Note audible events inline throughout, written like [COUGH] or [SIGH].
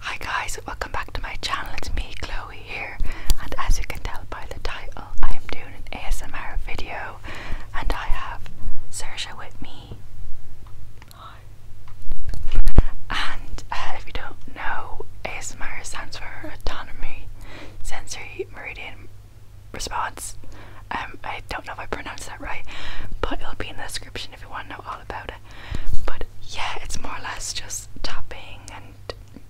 Hi guys, welcome back to my channel. It's me, Chloe here, and as you can tell by the title, I am doing an ASMR video, and I have Sersha with me. And uh, if you don't know, ASMR stands for Autonomy Sensory Meridian Response. Um, I don't know if I pronounced that right, but it'll be in the description if you want to know about it. But yeah, it's more or less just tapping and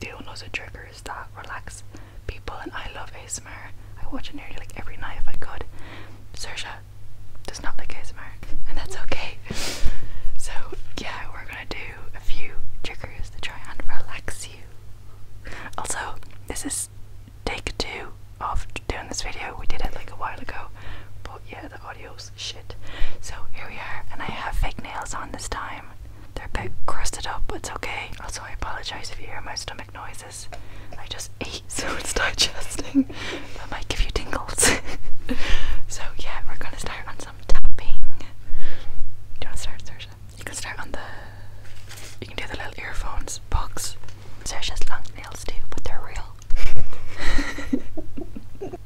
doing loads triggers that relax people. And I love ASMR. I watch it nearly like every night if I could. Sersha does not like ASMR, and that's okay. [LAUGHS] So yeah, we're gonna do a few triggers to try and relax you. Also, this is take two of doing this video. We did it like a while ago, but yeah, the audio's Shit. So here we are, and I have fake nails on this time. They're a bit crusted up, but it's okay. Also, I apologize if you hear my stomach noises. I just ate, [LAUGHS] so it's digesting. That might give you tingles. [LAUGHS] so yeah, we're gonna start on some tapping. Do you wanna start, Sersha? You can start on the. You can do the little earphones box. Sersha's long nails too, but they're real. [LAUGHS]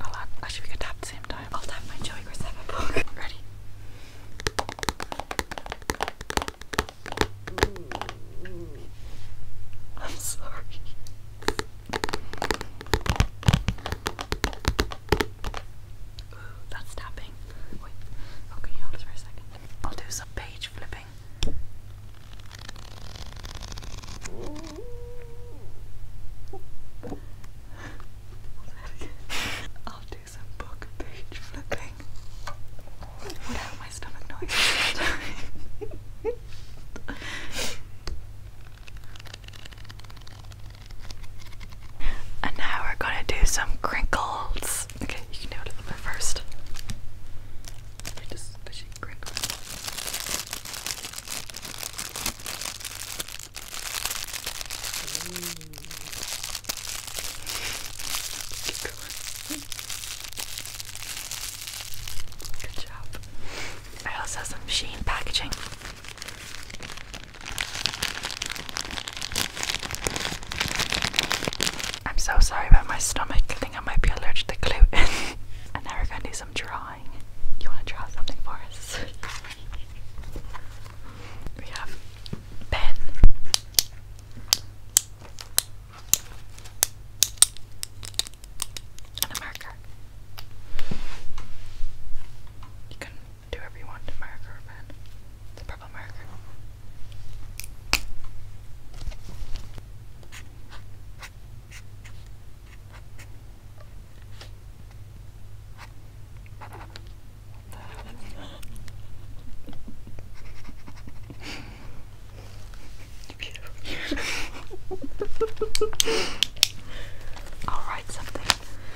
I'll actually we could tap same time. I'll tap my Joey Graceva book. [LAUGHS] Ready? I'm sorry. Ooh, that's tapping. Wait, okay, hold this for a second. I'll do some page flipping. [LAUGHS] I'll do some book page flipping without my stomach noise. [LAUGHS] And now we're gonna do some crinkles. Okay, you can do it 1st just pushing crinkles. Good job. I also have some Sheen packaging. I'm so sorry about my stomach. I think I might be allergic to gluten. [LAUGHS] and now gonna do some drawing. You wanna draw something for us? we have pen. And a marker. You can do whatever you want to or pen. It's a purple marker. [LAUGHS] I'll write something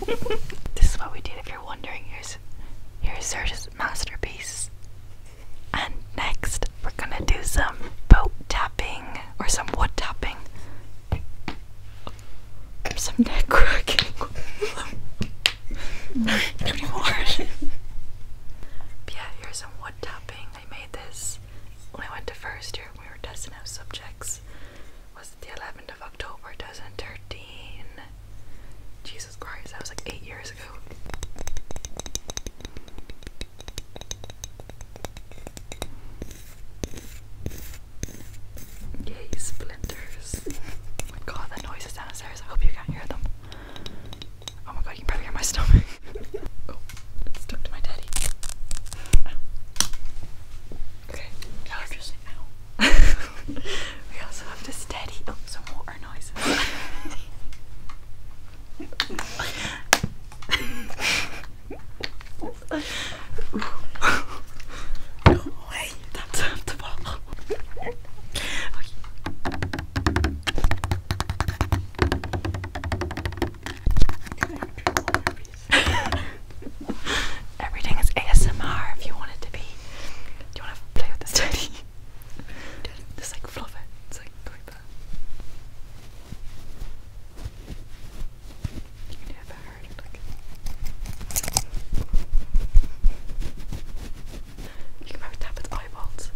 [LAUGHS] this is what we did if you're wondering. Here's here's Serge's masterpiece. And next we're gonna do some boat tapping or some wood tapping. Some neck cracking. [LAUGHS] Not anymore. [LAUGHS] yeah, here's some wood tapping. I made this when I went to first year, we were testing out subjects. Was it the 11th of October 2013? Jesus Christ, that was like eight years ago. Yay, splinters. oh my god, the noises downstairs. I hope you can't hear them. Oh my god, you can probably hear my stomach. [LAUGHS] Oh. It's stuck to my daddy. Ow. Okay. Just, ow. [LAUGHS] we also have to steady some water noises. [LAUGHS] no that's half [LAUGHS] Everything is ASMR if you want it to be. Do you want to play with this teddy? [LAUGHS] Just like fluff It's like like that. You can do it You can probably tap its eyeballs.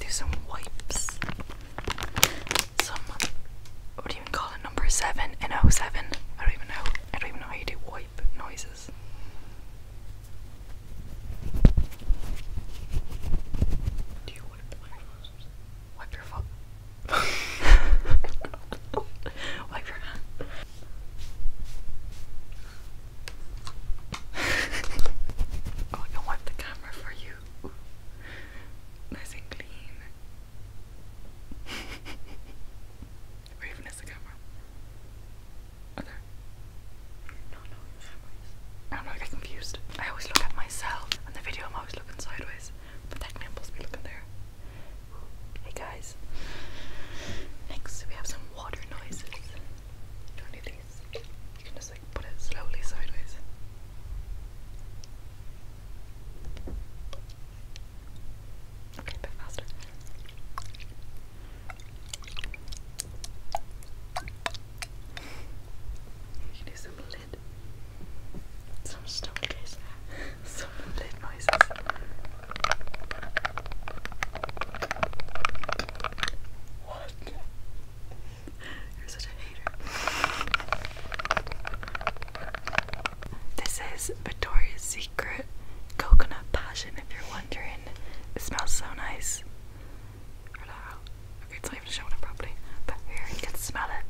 Do some wipes. Some what do you even call it? Number seven in oh seven. I don't even know. I don't even know how you do wipe noises. Do you wipe my nose? Wipe your foot. [LAUGHS] wipe your hand oh, I can the camera for you. Nice and clean. Where [LAUGHS] the camera? Oh, there. No, no, I do get confused. I always look at myself. and the video, I'm always looking sideways. But that I'm be looking there. Hey guys. Next, we have some water noises. You don't need these. You can just like put it slowly sideways. Okay, a bit faster. You can do some lid. Some stomach [LAUGHS] some lid noises. What? You're such a hater. This is Victoria's Secret Coconut Passion, if you're wondering. It smells so nice. Okay, it's not even showing it properly, but here you can smell it.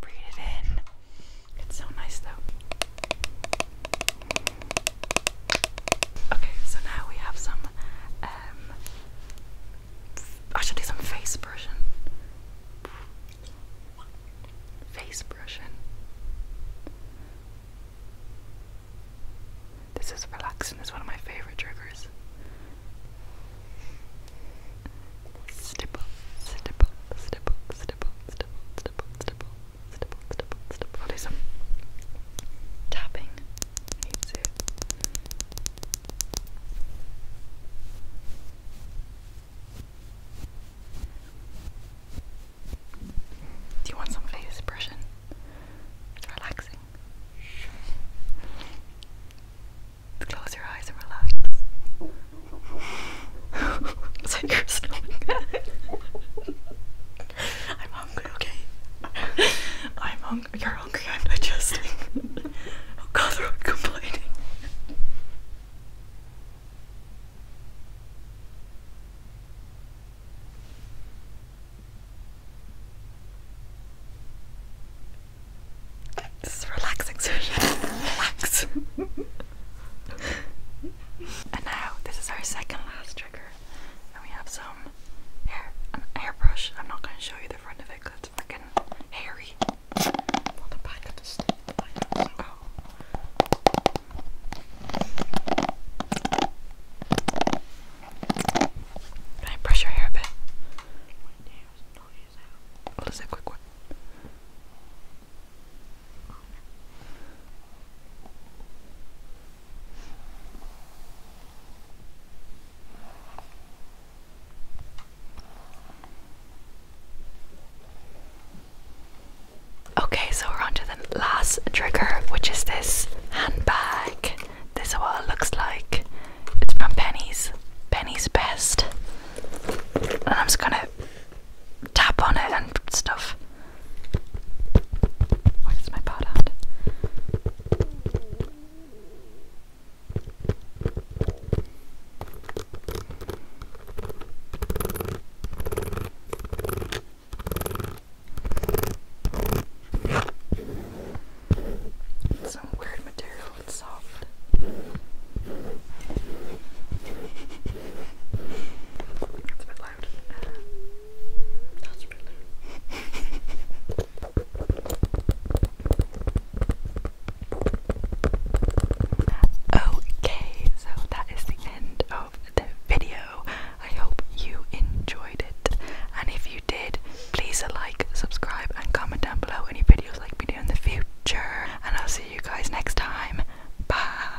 Breathe it in. It's so nice though. Okay, so now we have some. Um, I should do some face brushing. Face brushing. This is relaxing, it's one of my favorite triggers stipple, stipple, stipple, stipple, stipple, stipple, stipple, stipple, stipple, stipple. What is some tapping? I need to. Do you want some face expression? It's relaxing. Close your eyes and relax. Is that your stomach? I'm hungry, okay? I'm hungry. You're hungry, I'm digesting. oh god, they're complaining. This is a relaxing session. Relax. and now this is our second last trigger, and we have some hair, an airbrush. I'm not going to show you the front of it it's fucking hairy. Not the back of Can I brush your hair a bit? What is that quick one? Okay, so we're on to the last trigger, which is this handbag. This is what it looks like. It's from Penny's. Penny's Best. And I'm just gonna tap on it and stuff. Where's my pot it's some weird material, it's soft. It's a bit loud. that's really Okay, so that is the end of the video. I hope you enjoyed it, and if you did, Please like, subscribe, and comment down below any videos like we do in the future. And I'll see you guys next time. Bye.